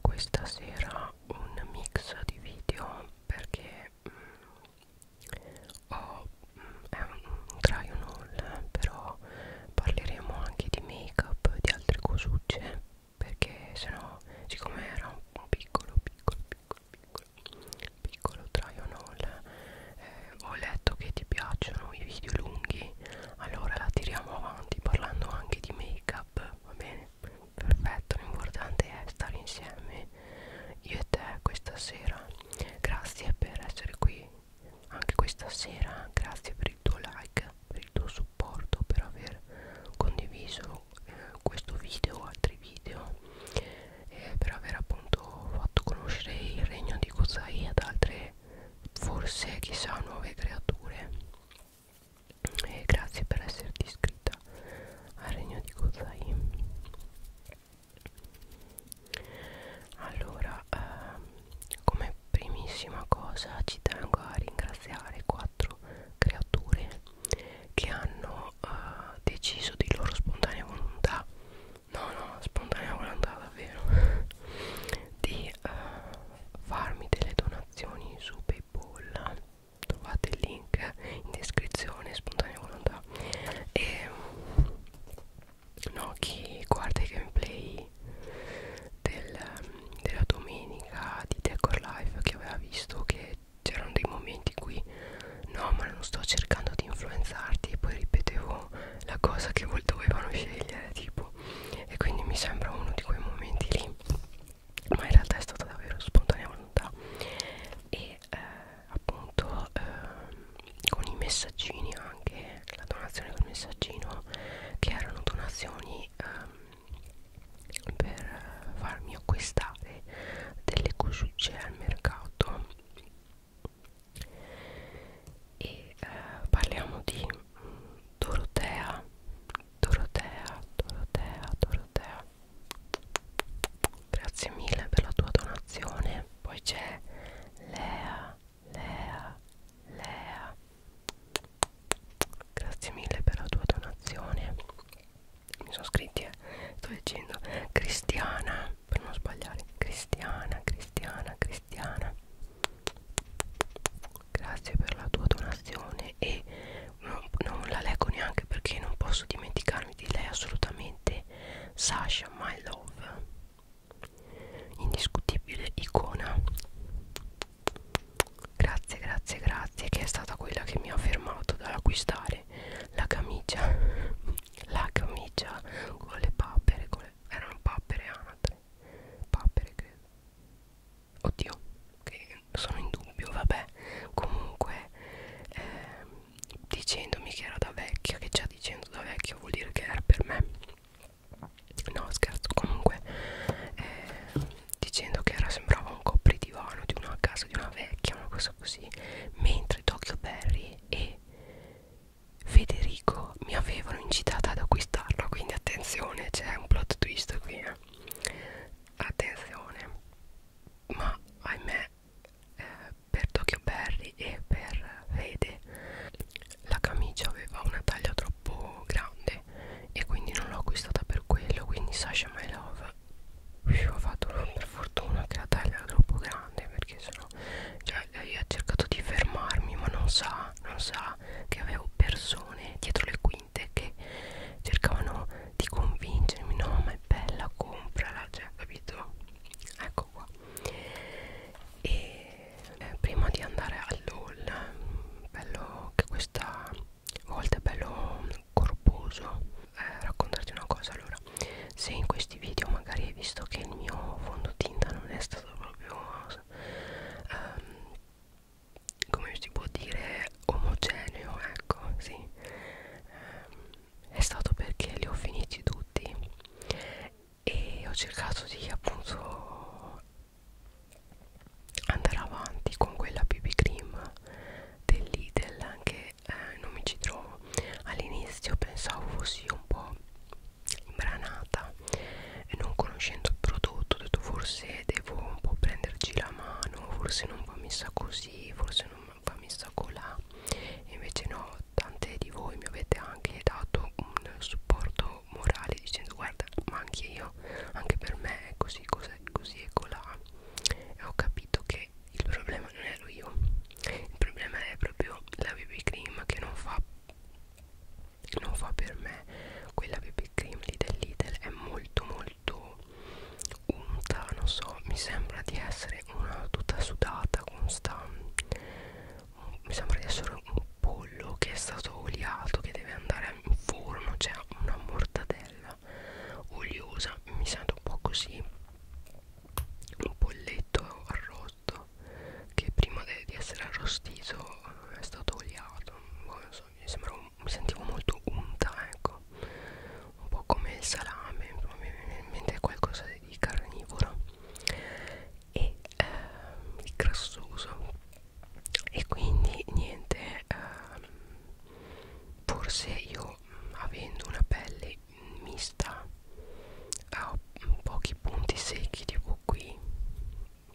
questa sera un mix di video perché mh, mm, ho, mh, mm, è un, un try on all però parleremo anche di make up di altre cosucce perché sennò siccome era un, un piccolo piccolo piccolo piccolo piccolo try on all eh, ho letto che ti piacciono i video lunghi allora la tiriamo avanti parlando anche di make up va bene perfetto l'importante è stare insieme io e te questa sera grazie per essere qui anche questa sera grazie per il tuo like per il tuo supporto per aver condiviso eh, questo video altri video e per aver appunto fatto conoscere il regno di Kozai ad altre forse chissà nuove creature e grazie per esserti iscritta al regno di Kozai allora ehm, come primissima cosa ci tengo a ringraziare quattro creature che hanno eh, deciso di loro spontanea volontà no no spontanea volontà davvero di eh, farmi delle donazioni donazioni su Paypal trovate il link in descrizione spontanea volontà e ehm, no chi guarda i gameplay del, della domenica di Decor Life che aveva visto che c'erano dei momenti in cui no ma non sto cercando di influenzarti e poi ripetevo la cosa che dovevano scegliere tipo giorni e quindi mi sembra uno di quei momenti lì ma in realtà è stata davvero spontanea volontà e eh, appunto eh, con i messaggini anche la donazione del messaggino che erano donazioni eh, per farmi acquistare delle cosucce al mercato e eh, parliamo di Dorotea Dorotea Dorotea Dorotea Grazie mille per la tua donazione Poi c'è Lea Lea Lea Grazie mille per la tua donazione Mi sono scritti eh Sto leggendo Cristiana Per non sbagliare Cristiana Cristiana Cristiana Grazie per la tua donazione e non, non la leggo neanche perché non posso dimenticarmi di lei assolutamente. Sasha, my love, indiscutibile icona. Grazie, grazie, grazie, che è stata quella che mi ha fermato dall'acquistare la camicia, la camicia con le papere, con le, erano papere anatre, papere credo oddio che sono in dubbio vabbè comunque ehm, dicendomi che era da vecchia che già dicendo da vecchio vuol dire che era per me no scherzo comunque eh, dicendo che era sembrava un copridivano di una casa di una vecchia una cosa così mentre Tokyo Perry e Federico però mi avevano incitata ad acquistarlo quindi attenzione c'è un plot twist qui eh. attenzione ma ahimè eh, per Tokyo Berry e per Fede la camicia aveva una taglia troppo grande e quindi non l'ho acquistata per quello quindi Sasha My Love ho fatto per fortuna che la taglia era troppo grande perché sennò cioè lei ha cercato di fermarmi ma non sa non sa era che avevo persone dietro le quinte che cercavano di convincermi no ma è bella comprala cioè capito ecco qua e eh, prima di andare all'all bello che questa volta è bello corposo eh, raccontarti una cosa allora se in questi video magari hai visto che il mio fondotinta non è stato proprio ehm, come si può dire omogeneo ecco sì eh, è stato perché li ho finiti tutti e ho cercato di appunto andare avanti con quella BB cream del Lidl anche eh, non mi ci trovo all'inizio pensavo fossi un po' imbranata e non conoscendo il prodotto ho detto forse devo un po' prenderci la mano forse non va messa così forse non va messa colà e invece no tante di voi mi avete anche dato un supporto morale dicendo guarda ma anche io anche per me è così cos'è così e colà e ho capito che il problema non ero io il problema è proprio la BB cream che non fa non fa per me quella BB cream lì dell'Idel è molto molto unta non so mi sembra di essere una tutta sudata con sta mi sembra di essere un pollo che è stato oliato che deve andare in forno c'è cioè una mortadella oliosa mi sento un po' così un polletto arrosto che prima di essere arrostito però è stato oliato boh, non so, mi, sembrava, mi sentivo molto unta ecco un po' come il salame mi viene in mente qualcosa di carnivoro e ehm, di grassoso e quindi niente ehm, forse io avendo una pelle mista ho pochi punti secchi tipo qui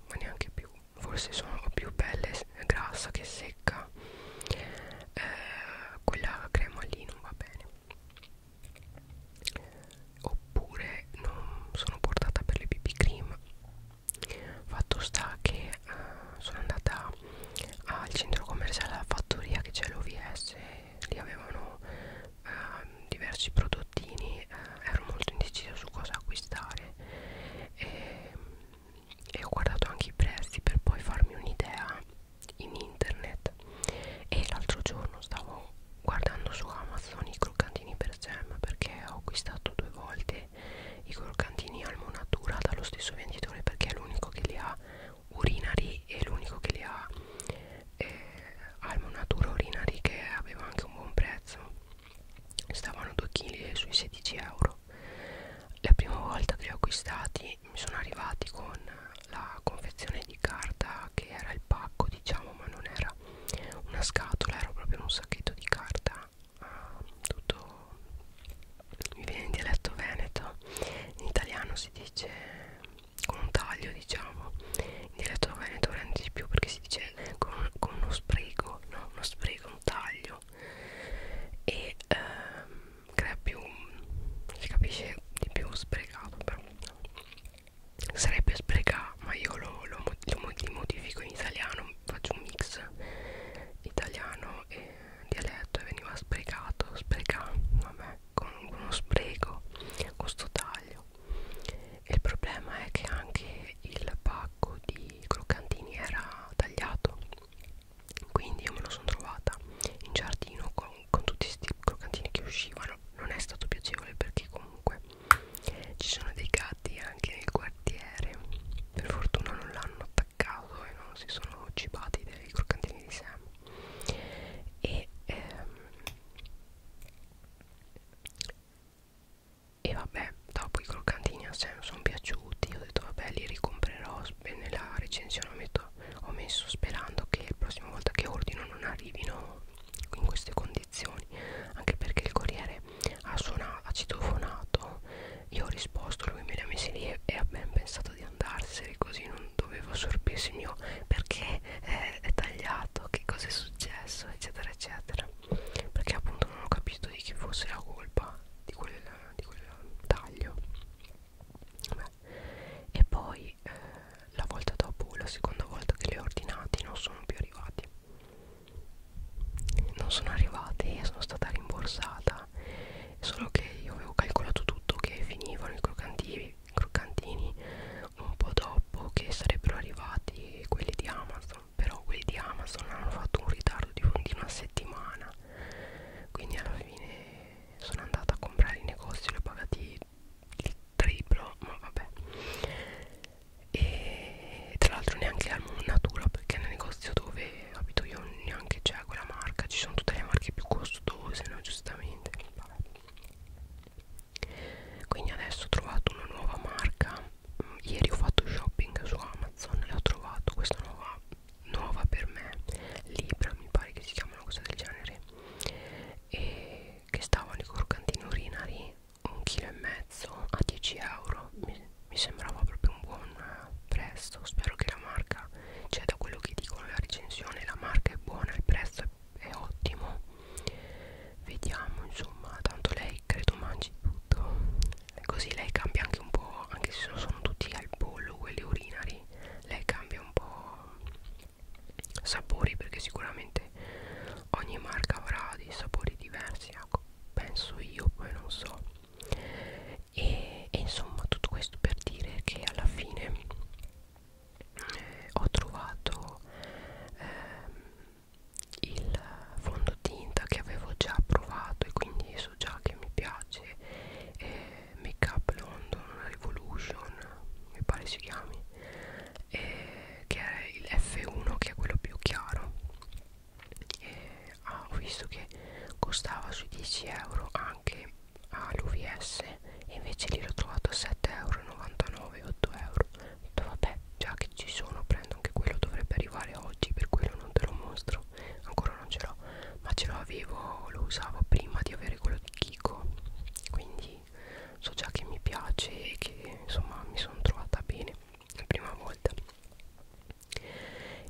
ma neanche più forse sono più belle grassa che secca eh, quella crema lì non va bene oppure non sono portata per le BB cream fatto sta che eh, sono andata al centro commerciale alla fattoria che c'è l'OVS lì avevano eh, diversi prodottini eh, ero molto indecisa su cosa acquistare e, e ho guardato anche i prezzi per poi farmi un'idea in internet e l'altro giorno stavo guardando su Amazon i croccantini per Sam perché ho acquistato due volte i croccantini almonatura dallo stesso venditore perché è l'unico che li ha urinari e l'unico che li ha eh, almonatura urinari che aveva anche un buon prezzo stavano 2 kg sui 16 euro la prima volta che li ho acquistati mi sono arrivati con la confezione di carta che era il pacco diciamo ma non era una scatola era proprio un sacchetto di carta uh, tutto mi viene in dialetto veneto in italiano si dice con un taglio diciamo in dialetto veneto rende di più perché si dice invece con, con uno sbrigo no? uno sbrigo, un taglio e ehm, crea più si capisce di più sprecato però sarebbe spreca ma io lo, lo, lo, lo modifico in italiano faccio un mix italiano e dialetto e veniva sprecato spreca vabbè con uno spreco con sto taglio euro il problema è che anche il pacco di croccantini era tagliato quindi io me lo sono trovata in giardino con, con tutti questi croccantini che uscivano non è stato piacevole perché comunque ci sono dei gatti anche nel quartiere per fortuna non l'hanno attaccato e non si sono cibati dei croccantini di Sam e ehm, e vabbè dopo i croccantini a Sam sono piaciuti ho detto vabbè li ricomprerò nella recensione ho, metto, ho messo sperando che la prossima volta che ordino non arrivino in queste condizioni anche perché il corriere ha, suonato, ha citofonato io ho risposto lui me li ha messi lì e, e ha ben pensato di andarsene così non dovevo sorbirsi il mio perché è, eh, è tagliato che cosa è successo eccetera eccetera perché appunto non ho capito di chi fosse la colpa di quel, di quel taglio Beh. e poi eh, la volta dopo la seconda volta che li ho ordinati non sono più arrivati non sono arrivati e sono stata rimborsata solo che io avevo calcolato tutto che finivano i croccantini, croccantini un po' dopo che sarebbero arrivati quelli di Amazon però quelli di Amazon hanno fatto un ritardo di, un, di una settimana quindi alla fine sono andata a comprare i negozi li ho pagati il triplo ma vabbè e tra l'altro neanche Almond Natura perché nel negozio dove abito io neanche c'è quella marca ci sono tutte le marche più costose no giustamente vabbè quindi adesso ho trovato una nuova marca mm, ieri ho fatto shopping su Amazon e ho trovato questa nuova nuova per me Libra mi pare che si chiama una cosa del genere e che stavano i croccantini urinari un chilo e mezzo a 10 euro mi, mi sembrava proprio un buon prezzo spero che la marca cioè da quello che dicono la recensione la marca è buona il prezzo è è ottimo vediamo insomma tanto lei credo mangi tutto così lei cambia anche un po' anche se sono tutti al pollo quelli urinari lei cambia un po' sapori perché sicuramente ogni marca avrà dei sapori diversi ecco penso io poi non so e, e insomma tutto questo per dire che alla fine eh, ho trovato ehm, il fondotinta che avevo già provato e quindi so già che mi piace eh, Make Up London Revolution mi pare si chiami eh, che è il F1 che è quello più chiaro eh, ah, ho visto che costava sui 10 euro anche all'UVS e invece lì l'ho trovato a 7,99 euro 8 euro ho detto vabbè già che ci sono prendo anche quello dovrebbe arrivare oggi per quello non te lo mostro ancora non ce l'ho ma ce l'avevo lo usavo prima di avere quello di Kiko quindi so già che mi piace e che insomma mi sono trovata bene la prima volta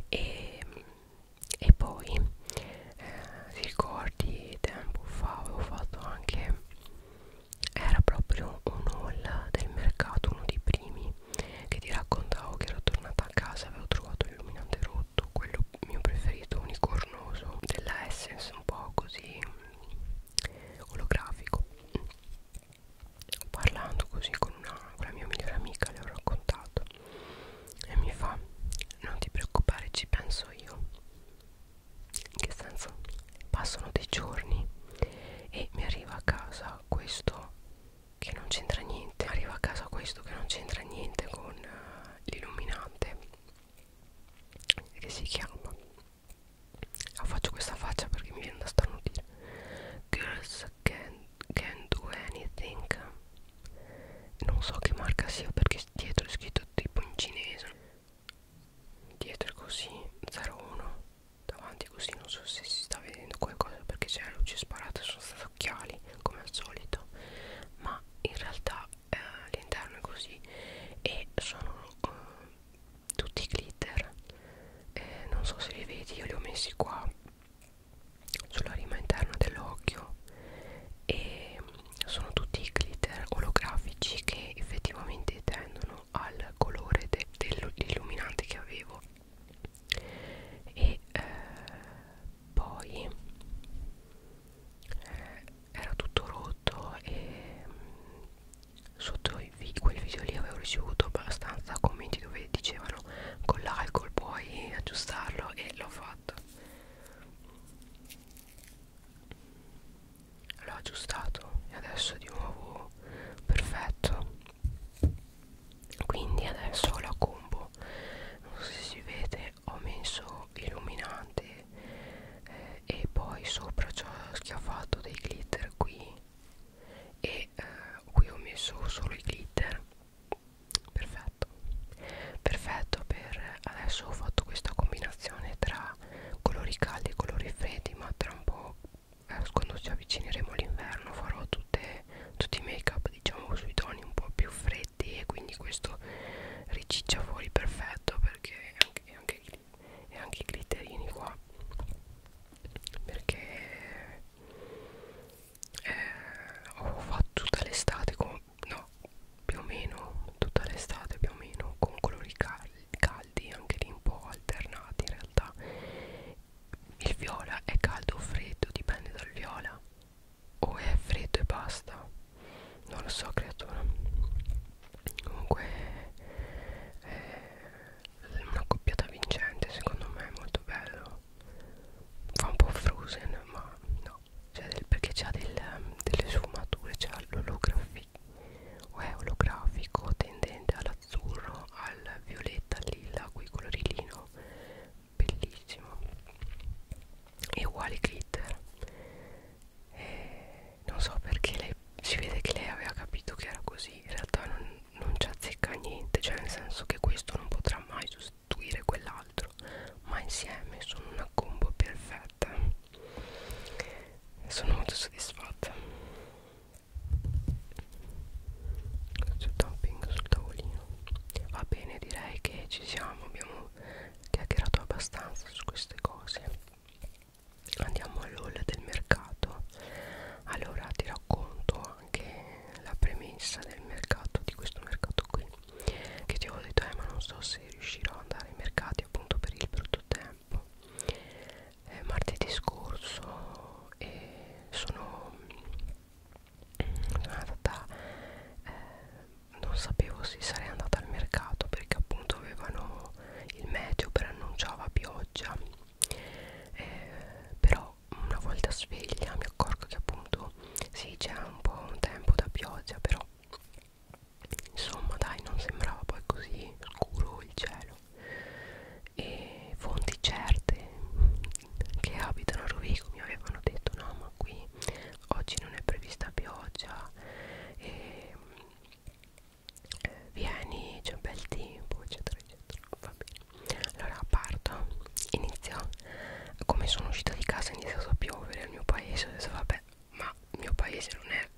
e, ehm, e poi eh, ricordi tempo fa avevo fatto anche era proprio un haul del mercato, uno dei primi che ti raccontavo che ero tornata a casa avevo trovato l'illuminante rotto, quello mio preferito unicornoso della Essence, un po' così mm, olografico. Parlando così con, una, con la mia migliore amica, le ho raccontato e mi fa: Non ti preoccupare, ci penso io in che senso passano dei giorni e mi arriva a casa questo che non c'entra niente arriva a casa questo che non c'entra niente con uh, l'illuminante che si chiama ah, faccio questa faccia perché mi viene da starnutire girls can, can do anything non so che marca sia perché dietro è scritto tipo in cinese dietro così 01 davanti così non so se si sta vedendo qualcosa perché c'è la luce sparata sono stati occhiali come al solito ma in realtà eh, l'interno è così e sono eh, tutti glitter eh, non so se li vedi io li ho messi qua sulla rima interna dell'occhio e mm, sono tutti glitter olografici che effettivamente tendono vicino al colore de dell'illuminante che avevo e eh, poi eh, era tutto rotto e mh, mm, sotto vi quel video lì avevo ricevuto abbastanza commenti dove dicevano con l'alcol puoi aggiustarlo e l'ho fatto l'ho aggiustato e adesso è di nuovo perfetto quindi adesso ho la combo non so se si vede ho messo illuminante eh, e poi sopra ci ho schiaffato dei glitter qui e eh, qui ho messo solo i glitter perfetto perfetto per adesso ho fatto questa combinazione tra qua colori caldi e colori freddi ma tra un po' eh, quando ci avvicineremo l'inverno farò tutte, tutti i make up diciamo sui toni un po' più freddi e quindi questo riciccia fuori perfetto perché anche, e anche, e anche i glitterini qua perché eh, ho fatto tutta l'estate con no più o meno tutta l'estate più o meno con colori caldi caldi anche lì un po' alternati in realtà il viola è caldo o freddo dipende dal viola o è freddo e basta non lo so creatura comunque eh, una coppiata vincente secondo me è molto bello fa un po' frozen ma no cioè del, perché c'ha del, delle sfumature c'ha l'olografia o è olografico tendente all'azzurro, al violetta, al lilla, qui colorilino bellissimo e uguale glitter e non so perché lei, si vede che lei aveva capito che era così in realtà non, non ci azzecca niente cioè nel senso che questo non potrà mai sostituire quell'altro ma insieme sono una combo perfetta fatta sono molto soddisfatta faccio tapping sul tavolino va bene direi che ci siamo abbiamo chiacchierato abbastanza su queste cose andiamo all'all del mercato allora ti racconto anche la premessa del mercato di questo mercato qui che ti avevo detto eh ma non so se riuscirò ad andare ai mercati appunto per il brutto tempo eh tempo eh, martedì scorso eh, sono, mm, sono andata eh, non sapevo se sarei andata al mercato perché appunto avevano il meteo preannunciava pioggia eh, però una volta sveglia mi accorgo che appunto sì c'è un po' un tempo da pioggia però insomma dai non sembrava poi così scuro il cielo e fonti certe che abitano a Rovigo mi avevano detto no ma qui oggi non è prevista pioggia e eh, vieni c'è un bel tempo eccetera eccetera va bene allora parto inizio come sono uscita di casa è iniziato a piovere al mio paese adesso vabbè ma il mio paese non è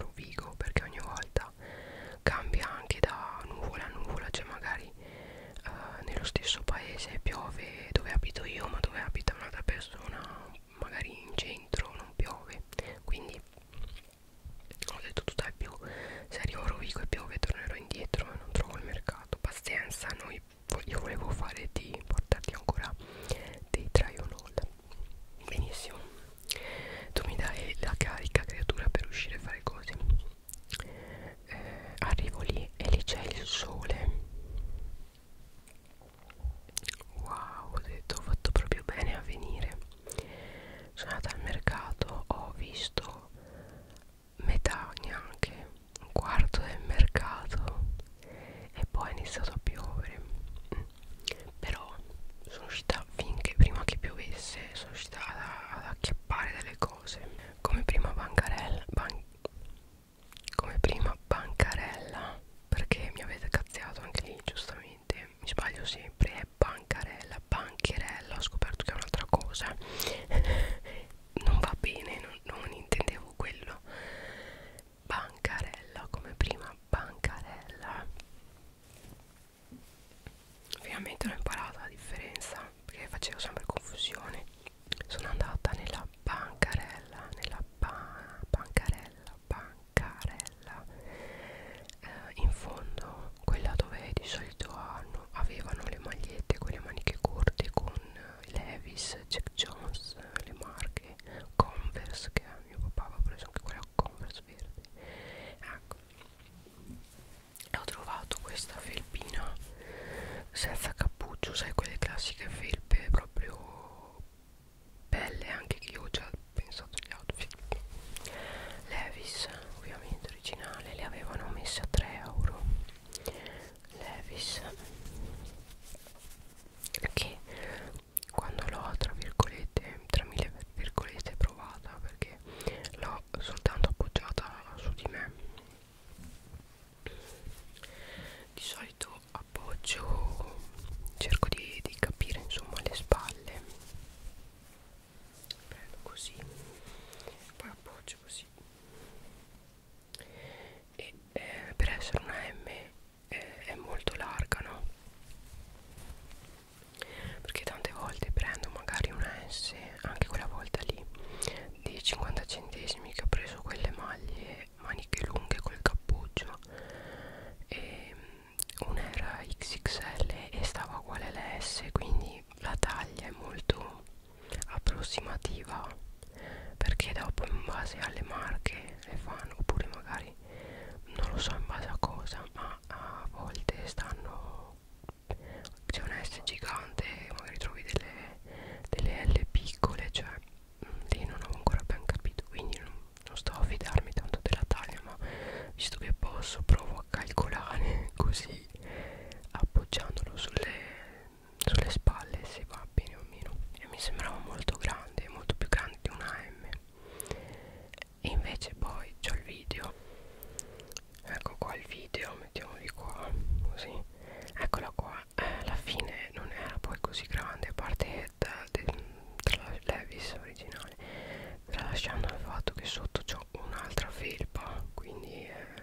un figo perché ogni volta cambia anche da nuvola a nuvola cioè magari eh, nello stesso paese piove dove abito io ma dove abita un'altra persona magari in centro non piove quindi ho detto tutto è più se arrivo a Rovigo e piove tornerò indietro e non trovo il mercato pazienza noi io volevo fare di portarti ancora dei try on haul benissimo tu mi dai la carica creatura per uscire a fare cose eh, arrivo lì e lì c'è il sole wow ho detto ho fatto proprio bene a venire sono andata al mercato ho visto metà neanche un quarto del mercato e poi è iniziato a piovere mm. però sono uscita finché prima che piovesse sono uscita ad, ad acchiappare delle cose come prima bancarella ban come prima bancarella perché mi avete cazziato anche lì giustamente mi sbaglio sempre è bancarella bancherella ho scoperto che è un'altra cosa non va bene non, non intendevo quello bancarella come prima bancarella ovviamente non ho imparato la differenza perché facevo sempre confusione sono andata nella bancarella nella ba bancarella bancarella eh, in fondo quella dove di solito hanno, avevano le magliette con le maniche corte con eh, Levis, Jack Jones, eh, le marche Converse che mio papà aveva preso anche quella Converse verde ecco e ho trovato questa felpina senza cappuccio sai quelle classiche felpe proprio belle anche che io ho già pensato agli outfit Levis ovviamente originale le avevano messe a 3 euro Levis che quando l'ho tra virgolette tra mille virgolette provata perché l'ho soltanto appoggiata su di me di solito appoggio cerco di, di capire insomma le spalle prendo così poi appoggio così e eh, per essere una M è, è molto larga no perché tante volte prendo magari una S anche quella volta lì di 50 centesimi che ho preso quelle maglie maniche lunghe col cappuccio e mm, una era XXL e stava uguale alla S quindi la taglia è molto approssimativa perché dopo in base alle marche le fanno oppure magari non lo so in base a cosa ma a volte stanno c'è un S gigante magari trovi delle, delle L piccole cioè mm, lì non ho ancora ben capito quindi non, non sto a fidarmi tanto della taglia ma visto che posso provo a calcolare così appoggiandolo sulle, sulle spalle se va fa bene o meno e mi sembrava molto grande molto più grande di una M e invece poi c'ho il video ecco qua il video mettiamoli qua così eccola qua eh, alla fine non era poi così grande a parte da, de, tra la Levis originale tralasciando il fatto che sotto c'ho un'altra felpa quindi eh,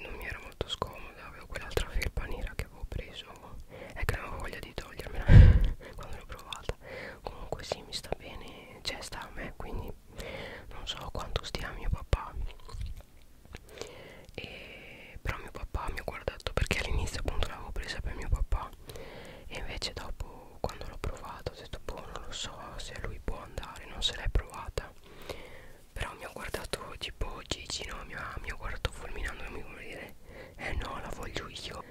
non mi era molto scomoda avevo quell'altra felpa nera che avevo preso nuovo è che non avevo voglia di togliermela quando l'ho provata comunque sì mi sta bene cioè sta a me quindi non so quanto stia mio papà e, però mio papà mi ha guardato perché all'inizio appunto l'avevo presa per mio papà e invece dopo quando l'ho provata ho detto boh non lo so se lui può andare non se l'hai provata però mi ha guardato tipo Gigi no mi ha, mi ha guardato fulminandomi come dire eh no la voglio io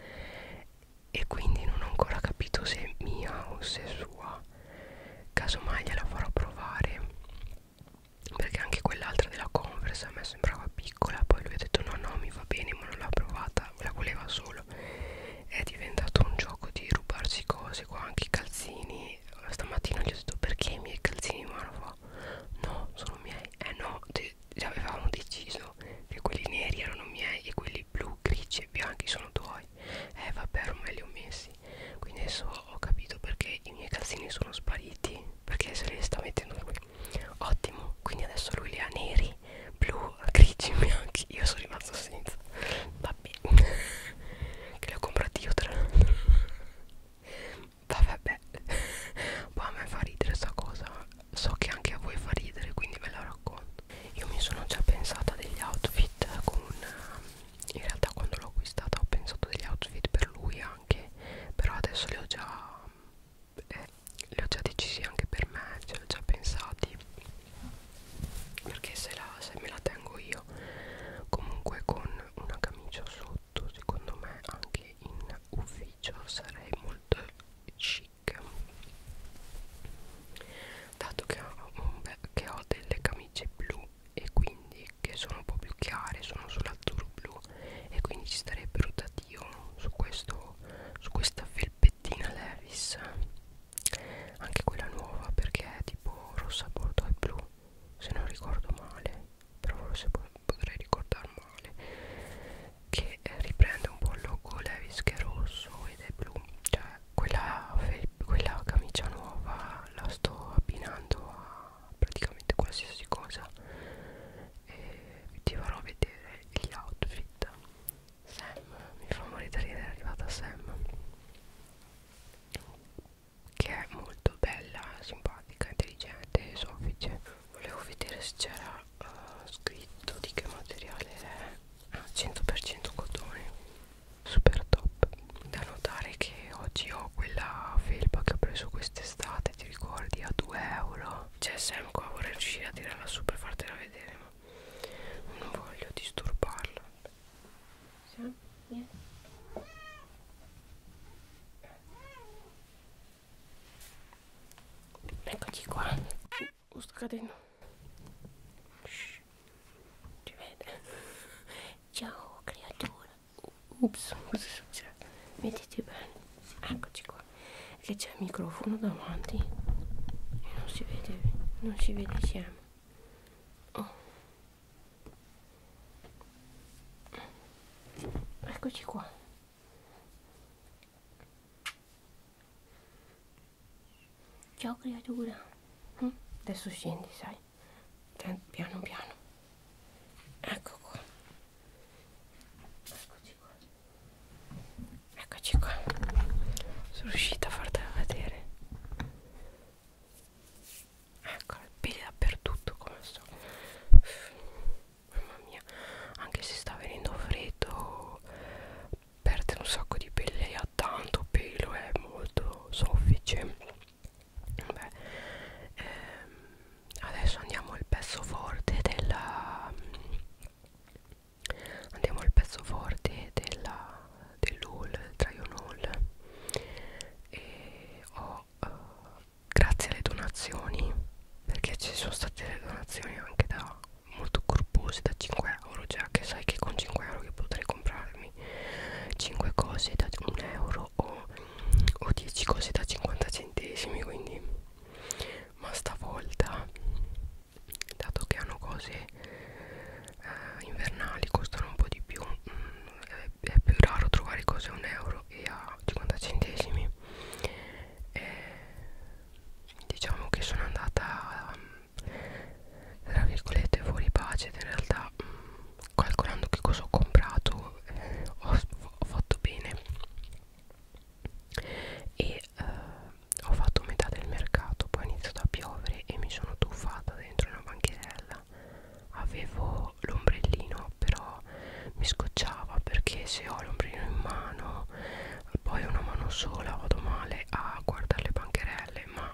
e quindi non ho ancora capito se è mia o se è sua casomai gliela farò provare perché anche quell'altra della Converse a me sembrava piccola poi lui ha detto no no mi va bene ma non l'ha provata la voleva solo è diventato un gioco di rubarsi cose qua anche i calzini stamattina gli ho detto perché i miei calzini ma fa no sono miei eh no te, avevamo deciso che quelli neri erano miei e quelli blu, grigi e bianchi sono tuoi. Eh vabbè ormai li ho messi. Quindi adesso ho capito perché i miei calzini sono spariti. Perché se li sta mettendo lui. Ottimo, quindi adesso lui li ha neri, blu, grigi e bianchi. Io sono rimasto senza. Vabbè. che li ho comprati io tra l'altro vabbè beh. poi a me fa ridere sta cosa so che anche a voi fa ridere quindi ve la racconto io mi sono già pensata degli outfit con in realtà quando l'ho acquistata ho pensato degli outfit per lui anche però adesso li ho già eh, li ho già decisi anche per me ce li ho già pensati perché se, la, se me la tengo io comunque con una camicia sotto prodotto secondo me anche in ufficio sarei molto chic dato che ho, bel, che ho delle camicie blu e quindi che sono un po' più chiare sono solo azzurro blu e quindi ci starebbero da dio su, questo, su questa felpettina Levis anche quella nuova perché è tipo rossa bordeaux e blu se non ricordo male però forse potrei ricordare male che eh, riprende un po' il logo Levis che è rosso ed è blu cioè quella, quella camicia nuova la sto abbinando a praticamente qualsiasi cosa e ti farò vedere gli outfit Sam mi fa morire ridere è arrivata Sam che è molto bella simpatica intelligente soffice volevo vedere se c'era uh, scritto di che materiale è ah, 100% cotone super top da notare che oggi ho quella felpa che ho preso quest'estate ti ricordi a 2 euro c'è Sam ah, qua vorrei riuscire a tirarla su per fartela vedere ma non voglio disturbarla sì? Yeah. Eccoci qua. Oh, sto cadendo. Shh. Ci vede. Ciao creatura. Ups, cosa è successo? Mettiti bene. Eccoci qua. Che c'è il microfono davanti. E non si vede, non si vede insieme. Oh eccoci qua ciao creatura mm? adesso scendi sai cioè, piano piano ecco qua eccoci qua eccoci qua sono riuscita a fartela vedere ecco il peli dappertutto come sto mamma mia anche se sta venendo freddo perde un sacco di pelle lei ha tanto pelo è molto soffice Beh, ehm, adesso andiamo al pezzo forte della andiamo al pezzo forte della dell'haul, del try on haul e ho però eh, grazie alle donazioni perché ci sono state le donazioni anche da molto corpose da 5 euro già che sai che con 5 euro che potrei comprarmi 5 cose da 1 euro o, o 10 cose da 50 centesimi quindi ma stavolta dato che hanno cose eh, invernali costano un po' di più mh, mm, è, è più raro trovare cose a un euro e a 50 centesimi e diciamo che sono andata tra virgolette fuori pace in realtà mm, calcolando che cosa ho comprato eh, ho, ho fatto bene e eh, ho fatto metà del mercato poi è iniziato a piovere e mi sono tuffata dentro una bancherella sera avevo l'ombrellino però mi scocciava perché se ho l'ombrellino in mano poi una mano sola vado male a guardare le bancherelle ma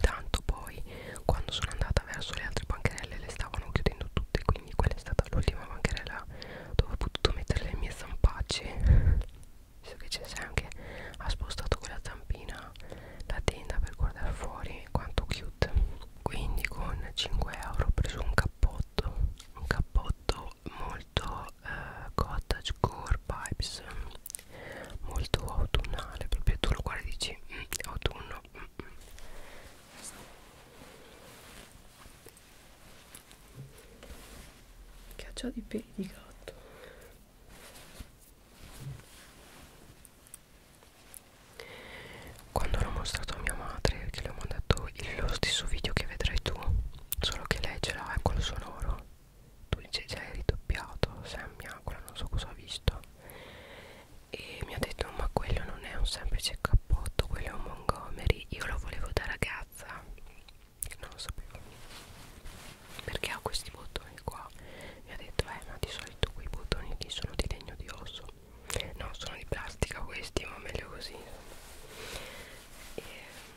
tanto poi quando sono andata verso le altre bancherelle le stavano chiudendo tutte quindi quella è stata l'ultima bancherella dove ho potuto mettere le mie zampacce visto che c'è anche ha spostato quella zampina la tenda per guardare fuori quanto cute quindi con 5 euro ho preso un cappotto un cappotto molto eh, cottage core vibes molto autunnale proprio tu lo guardi e dici mm, autunno mm, mm. che ha già dei peli di gatto quando l'ho mostrato a mia madre Che le ho mandato lo stesso video che vedrai tu Solo che lei ce l'ha quello eh, sonoro Tu dice già hai cioè, ridoppiato Sammy Aquila ah, non so cosa ha visto E mi ha detto ma quello non è un semplice cappotto Quello è un Montgomery Io lo volevo da ragazza Non lo sapevo Perché ha questi bottoni qua Mi ha detto eh ma di solito quei bottoni lì sono di legno di osso no sono di plastica questi ma meglio così e,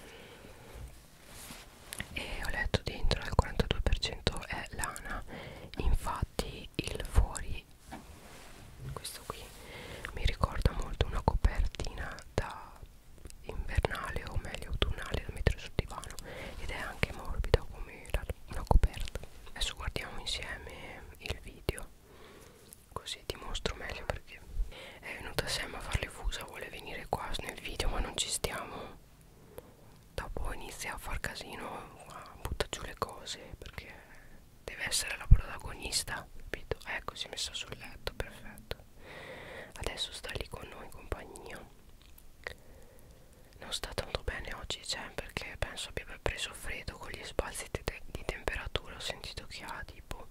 mm, e ho letto dentro al 42% è lana infatti il fuori questo qui mi ricorda molto una copertina da invernale o meglio autunnale da mettere sul divano ed è anche morbida come una coperta adesso guardiamo insieme il video così ti mostro meglio perché è venuta Sam a farle fusa vuole venire qua nel video ma non ci stiamo dopo inizia a far casino butta giù le cose perché deve essere la protagonista capito ecco si è messa sul letto perfetto adesso sta lì con noi in compagnia non sta tanto bene oggi Jen cioè, perché penso abbia preso freddo con gli sbalzi te di temperatura ho sentito che ha tipo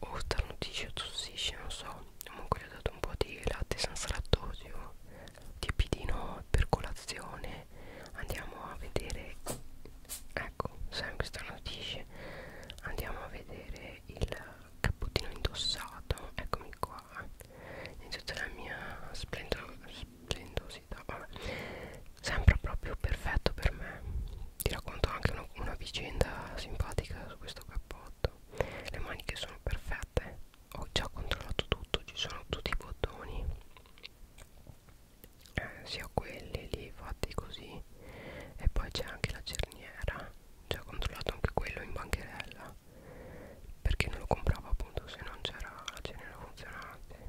o starnutisce o tossisce non so comunque gli ho dato un po' di latte senza lattosio tiepidino per colazione andiamo a vedere ecco sempre starnutisce andiamo a vedere il cappuccino indossato eccomi qua in tutta la mia splendor splendosità vabbè. sempre proprio perfetto per me ti racconto anche una, una vicenda simpatica su questo cappotto le maniche sono perfette ho già controllato tutto ci sono tutti i bottoni eh, sia quelli lì fatti così e poi c'è anche la cerniera già controllato anche quello in bancherella perché non lo compravo appunto se non c'era la genera funzionante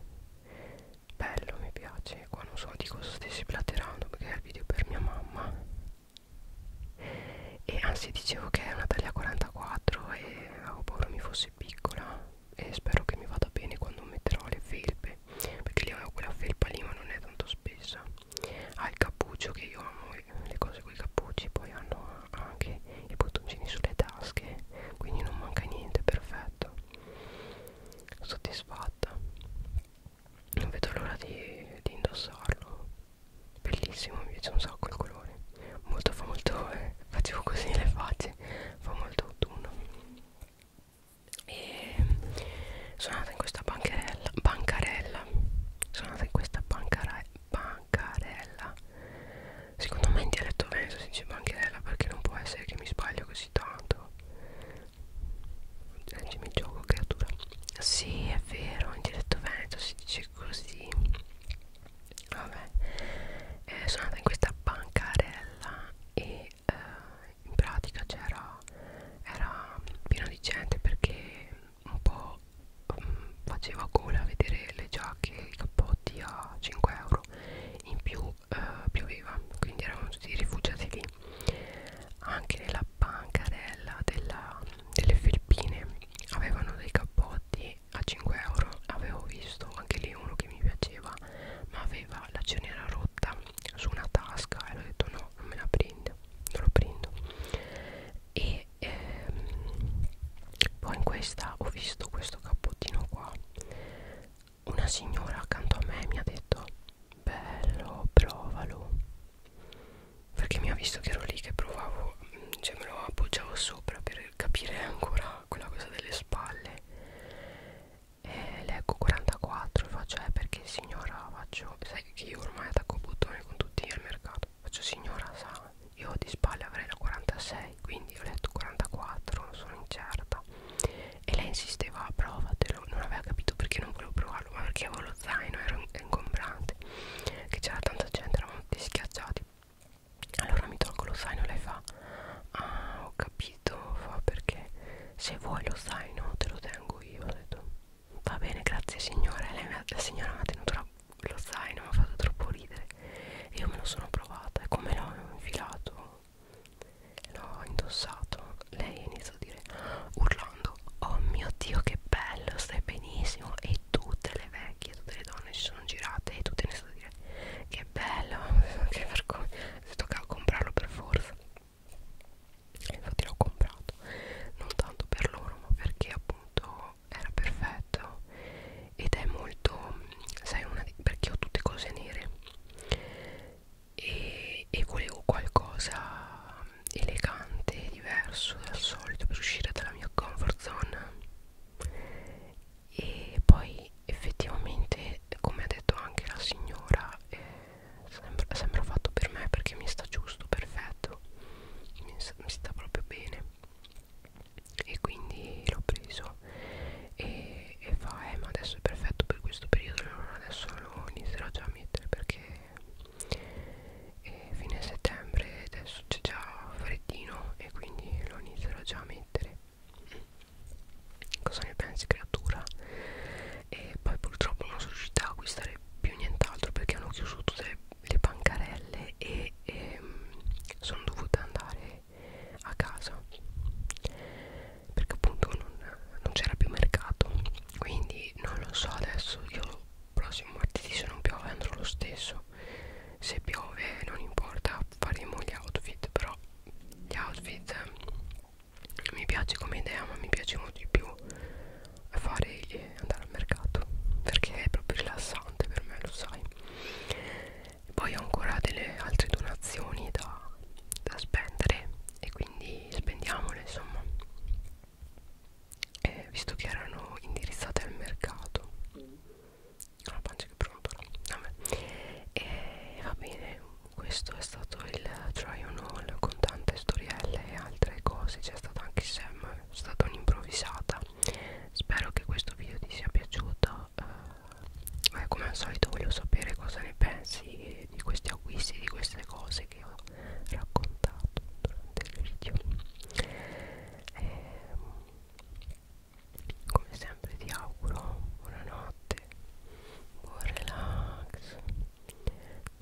bello mi piace qua non so di cosa stessi platerando perché è il video per mia mamma e anzi dicevo che è una taglia 44 e avevo paura mi fosse piccola e spero che mi vada bene quando metterò le felpe perché lì avevo quella felpa lì ma non è tanto spessa ha il cappuccio che io amo le cose con i cappucci poi hanno anche i bottoncini sulle tasche quindi non manca niente perfetto soddisfatta non vedo l'ora di, di indossarlo bellissimo mi piace un sacco il colore molto fa molto eh, facevo così le facce fa molto autunno e sono andata in questa bancarella bancarella sono andata in questa bancarella bancarella Secondo me in dialetto venso si dice bancherella perché non può essere che mi sbaglio così tanto. Leggimi il gioco, creatura. Sì, è vero, in dialetto venso si dice così. Vabbè, eh, sono andata in questa bancarella e eh, in pratica c'era era pieno di gente perché un po' um, faceva gola vedere le giacche e i cappotti a 5 euro in più eh, pioveva quindi erano tutti rifugiati lì anche nella bancarella della, delle felpine avevano dei cappotti a 5 euro avevo visto anche lì uno che mi piaceva ma aveva la cenera rotta su una tasca e ho detto no non me la prendo non lo prendo e ehm, poi in questa ho visto questo cappottino qua una signora accanto a me mi ha detto bello provalo perché mi ha visto che ero lì che provavo mm, cioè me lo appoggiavo sopra per capire ancora quella cosa delle spalle e leggo 44 faccio eh perché signora faccio sai che io ormai attacco bottone con tutti al mercato faccio signora sa io di spalle avrei la 46 quindi ho letto 44 non sono incerta e lei insisteva ah, provatelo non aveva capito perché non volevo provarlo ma perché avevo lo zaino era ingombrante che c'era tanta gente eravamo tutti schiacciati allora mi tolgo lo zaino lei fa ah ho capito fa perché se vuoi lo zaino te lo tengo io ho detto va bene grazie signora e lei, la signora mi ha tenuto la lo sai non mi ha fatto troppo ridere e io me lo sono provata e come l'ho infilato l'ho indossato lei ha iniziato a dire urlando oh mio dio che bello stai benissimo e tutte le vecchie tutte le donne si sono girate e tutte ne sono dire che bello che vergogna si toccava comprarlo per forza e infatti l'ho comprato non tanto per loro ma perché appunto era perfetto ed è molto sai una di, perché ho tutte cose nere e, e volevo qualcosa elegante diverso dal solito per uscire dalla mia comfort zone e poi effettivamente come ha detto anche la signora eh, sembra, sembra fatto per me perché mi sta giusto perfetto mi sta, mi sta proprio bene e quindi l'ho preso e, e fa eh ma adesso è perfetto per questo periodo allora adesso lo inizierò già a mettere perché è fine settembre adesso c'è già freddino e quindi lo inizierò già a mettere cosa ne pensi creatura e poi purtroppo non sono riuscita a acquistare più nient'altro perché hanno chiuso tutte le le bancarelle e, e ehm, sono dovuta andare a casa perché appunto non, non c'era più mercato quindi non lo so adesso io prossimo martedì se non piove andrò lo stesso se piove non importa faremo gli outfit però gli outfit mi piace come idea ma mi piace molto di più fare andare al mercato perché è proprio rilassante per me lo sai poi ho ancora delle altre donazioni da, da spendere e quindi spendiamole insomma eh, visto che erano indirizzate al mercato la pancia che pronto e eh, va bene questo è stato il try on all con tante storielle e altre cose c'è stato anche Sam è stata un'improvvisata spero che questo video ti sia piaciuto eh, eh, come al solito voglio sapere cosa ne pensi di questi acquisti di queste cose che ho raccontato durante il video eh, come sempre ti auguro buonanotte buon relax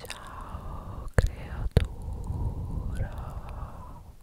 ciao creatura